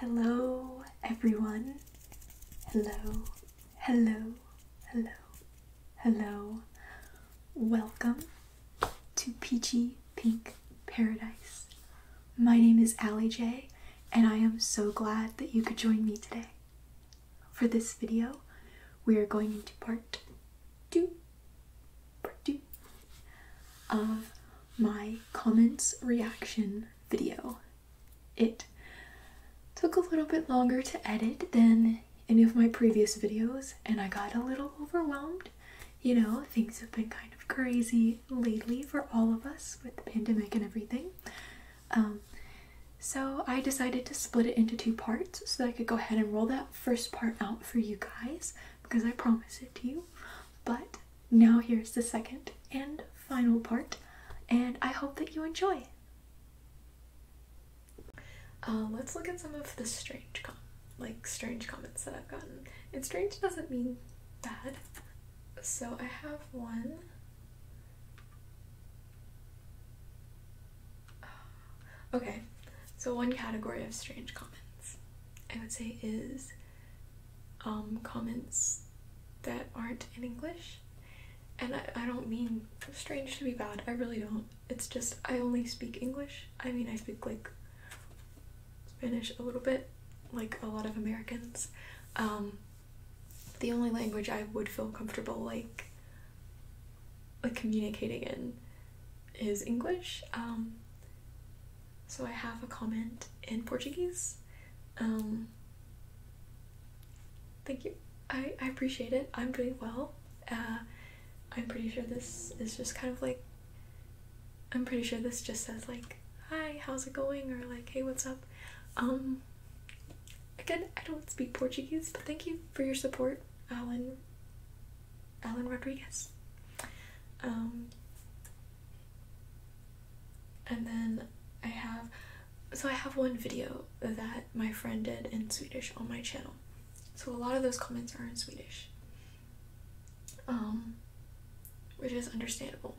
Hello, everyone. Hello, hello, hello, hello. Welcome to Peachy Pink Paradise. My name is Allie J, and I am so glad that you could join me today. For this video, we are going into part two pretty of my comments reaction video. It took a little bit longer to edit than any of my previous videos and I got a little overwhelmed. You know, things have been kind of crazy lately for all of us with the pandemic and everything. Um, so I decided to split it into two parts so that I could go ahead and roll that first part out for you guys because I promise it to you. But now here's the second and final part, and I hope that you enjoy. Um, let's look at some of the strange com like strange comments that I've gotten. And strange doesn't mean bad. So I have one. Okay, so one category of strange comments. I would say is um, comments that aren't in English. And I, I don't mean strange to be bad, I really don't. It's just I only speak English. I mean, I speak like Spanish a little bit, like a lot of Americans. Um, the only language I would feel comfortable like like communicating in is English. Um, so I have a comment in Portuguese. Um, thank you. I, I appreciate it. I'm doing well. Uh, I'm pretty sure this is just kind of like. I'm pretty sure this just says like, "Hi, how's it going?" or like, "Hey, what's up?" Um, again, I don't speak Portuguese, but thank you for your support, Alan Alan Rodriguez. Um, and then I have, so I have one video that my friend did in Swedish on my channel. So a lot of those comments are in Swedish, um, which is understandable.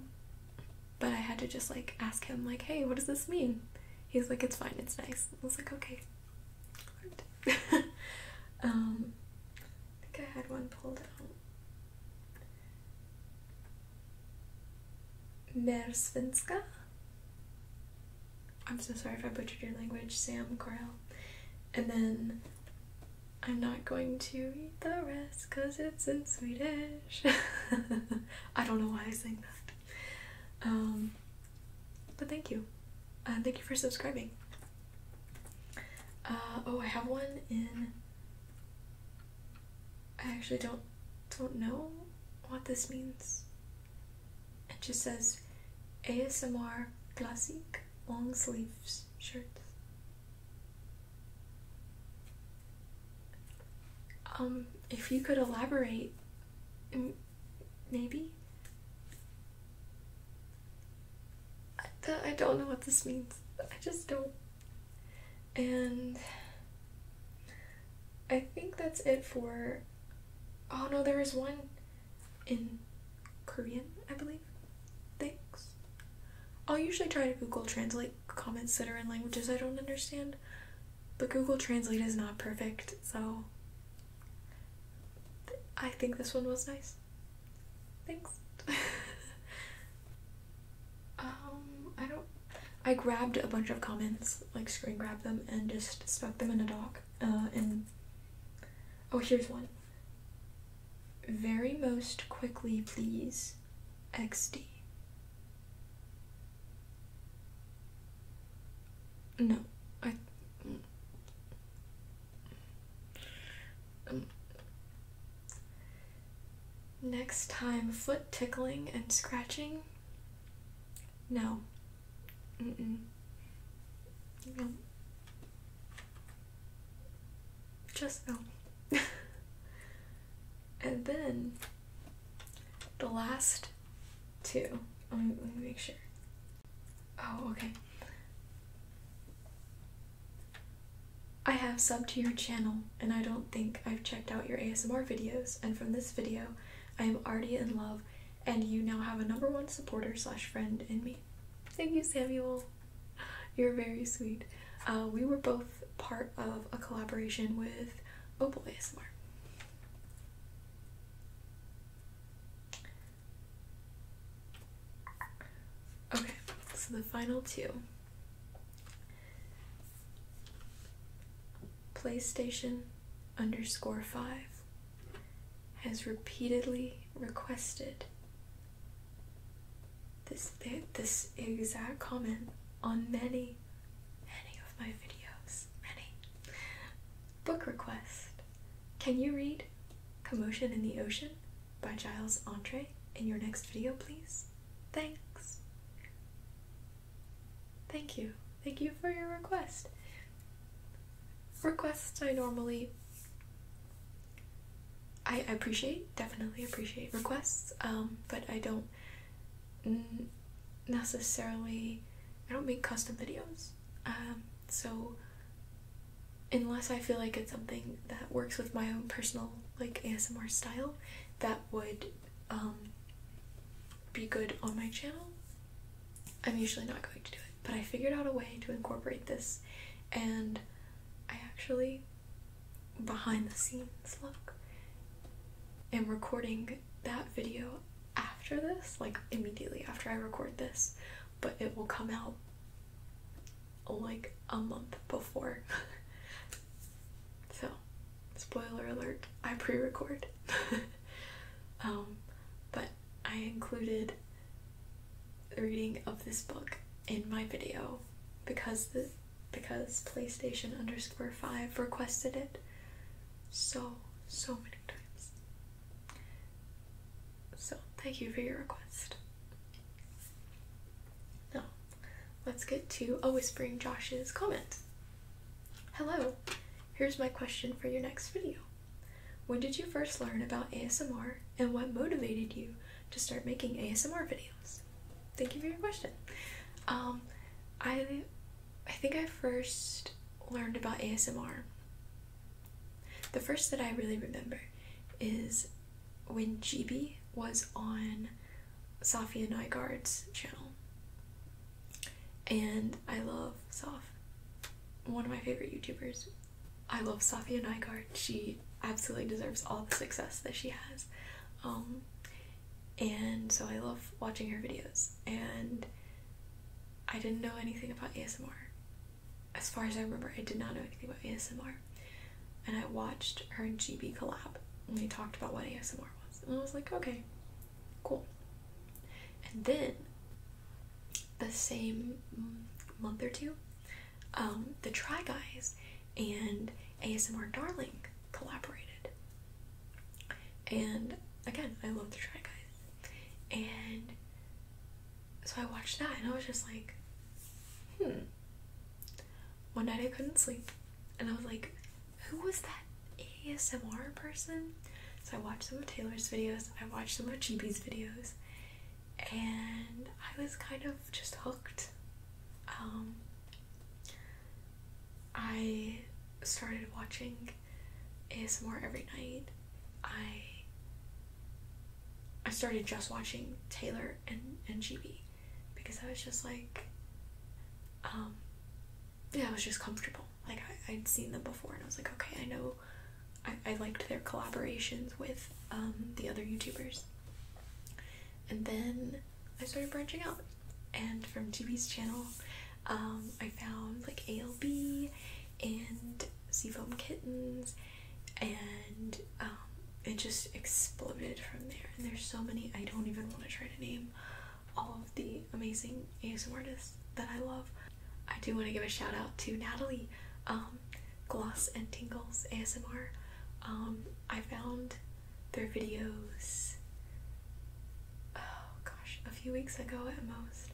But I had to just like ask him like, hey, what does this mean? He's like, it's fine, it's nice. I was like, okay. Um, I think I had one pulled out. Mersvinska. I'm so sorry if I butchered your language, Sam Corral. And then I'm not going to eat the rest because it's in Swedish. I don't know why I sang that. Um, but thank you. Uh, thank you for subscribing. Uh, oh, I have one in. I actually don't don't know what this means. It just says ASMR classic long sleeves shirts. Um, if you could elaborate, Maybe? I, don't know what this means. I just don't. And I think that's it for. Oh no, there is one in Korean, I believe. Thanks. I'll usually try to Google Translate comments that are in languages I don't understand, but Google Translate is not perfect, so I think this one was nice. Thanks. um, I don't. I grabbed a bunch of comments, like screen grabbed them, and just stuck them in a doc. Uh, and oh, here's one. Very most quickly, please. XD. No, I. Um, next time, foot tickling and scratching? No. Mm -mm. No. Just no. and then the last Two. Let me, make sure. Oh, okay. I have subbed to your channel, and I don't think I've checked out your ASMR videos, and from this video, I am already in love, and you now have a number one supporter slash friend in me. Thank you, Samuel. You're very sweet. Uh, we were both part of a collaboration with Opal ASMR. Okay, so the final two PlayStation underscore five has repeatedly requested this this exact comment on many any of my videos, any book request. Can you read Commotion in the Ocean by Giles Andre in your next video, please? Thanks. Thank you. Thank you for your request. Requests I normally I appreciate, definitely appreciate requests, um, but I don't necessarily I don't make custom videos. Um, so unless I feel like it's something that works with my own personal like ASMR style that would um, be good on my channel, I'm usually not going to do it. But I figured out a way to incorporate this and I actually behind the scenes look am recording that video after this, like immediately after I record this, but it will come out like a month before. so, spoiler alert, I pre record. um, but I included reading of this book in my video because the because PlayStation underscore 5 requested it so, so many times. So, thank you for your request. Now, let's get to a Whispering Josh's comment. Hello, here's my question for your next video. When did you first learn about ASMR and what motivated you to start making ASMR videos? thank you for your question. Um, I I think I first learned about ASMR. The first that I really remember is when GB was on Safia Nygaard's channel. And I love Saf. One of my favorite YouTubers. I love Safia Nygaard. She absolutely deserves all the success that she has um, and so I love watching her videos. And I didn't know anything about ASMR. As far as I remember, I did not know anything about ASMR. And I watched her GB collab, and they talked about what ASMR was. And I was like, okay, cool. And then the same month or two, um, the Try Guys and ASMR Darling collaborated. And again, I love the Try Guys. And so I watched that and I was just like, hmm. One night I couldn't sleep and I was like, who was that ASMR person? So I watched some of Taylor's videos, I watched some of Cheapy's videos, and I was kind of just hooked. Um, I started watching ASMR every night. I I started just watching Taylor and, and GB because I was just like, um, yeah, I was just comfortable. Like, I, would seen them before and I was like, okay, I know I, I liked their collaborations with um, the other YouTubers. And then I started branching out, and from GB's channel, um, I found like ALB and Seafoam Kittens, and um, it just exploded from there. And there's so many, I don't even want to try to name all of the amazing ASM artists that I love. I do want to give a shout out to Natalie. Um, Gloss and Tingles ASMR. Um, I found their videos, oh gosh, a few weeks ago at most,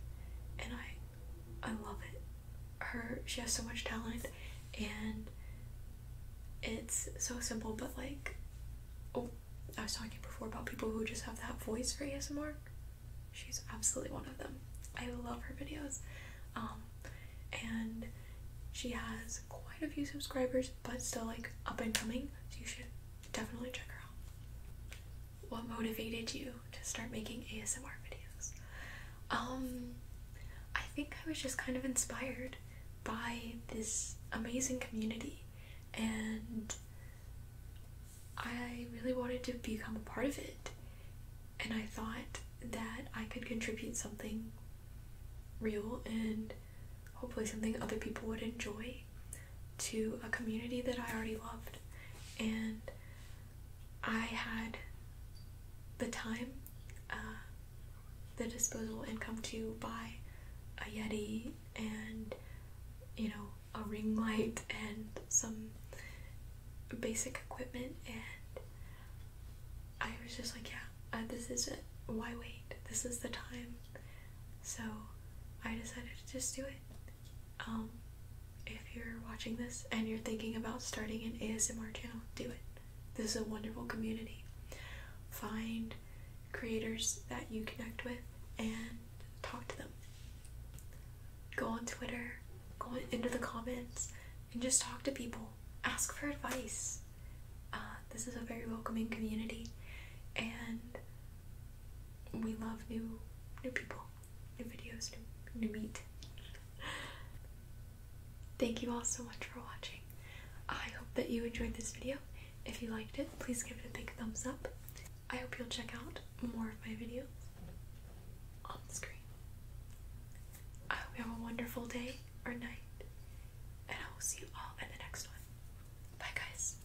and I, I love it. Her, she has so much talent, and it's so simple, but like, oh, I was talking before about people who just have that voice for ASMR she's absolutely one of them. I love her videos. Um, and she has quite a few subscribers, but still like up and coming, so you should definitely check her out. What motivated you to start making ASMR videos? Um, I think I was just kind of inspired by this amazing community, and I really wanted to become a part of it and I thought that I could contribute something real and hopefully something other people would enjoy to a community that I already loved. And I had the time, uh, the disposable income to buy a Yeti and, you know, a ring light and some basic equipment and I was just like, yeah, uh, this is Why wait? This is the time. So I decided to just do it. Um, if you're watching this and you're thinking about starting an ASMR channel, do it. This is a wonderful community. Find creators that you connect with and talk to them. Go on Twitter, go into the comments and just talk to people. Ask for advice. Uh, this is a very welcoming community, and we love new new people, new videos, new, new meat. Thank you all so much for watching. I hope that you enjoyed this video. If you liked it, please give it a big thumbs up. I hope you'll check out more of my videos on the screen. I hope you have a wonderful day or night, and I will see you all in the next one. Bye, guys.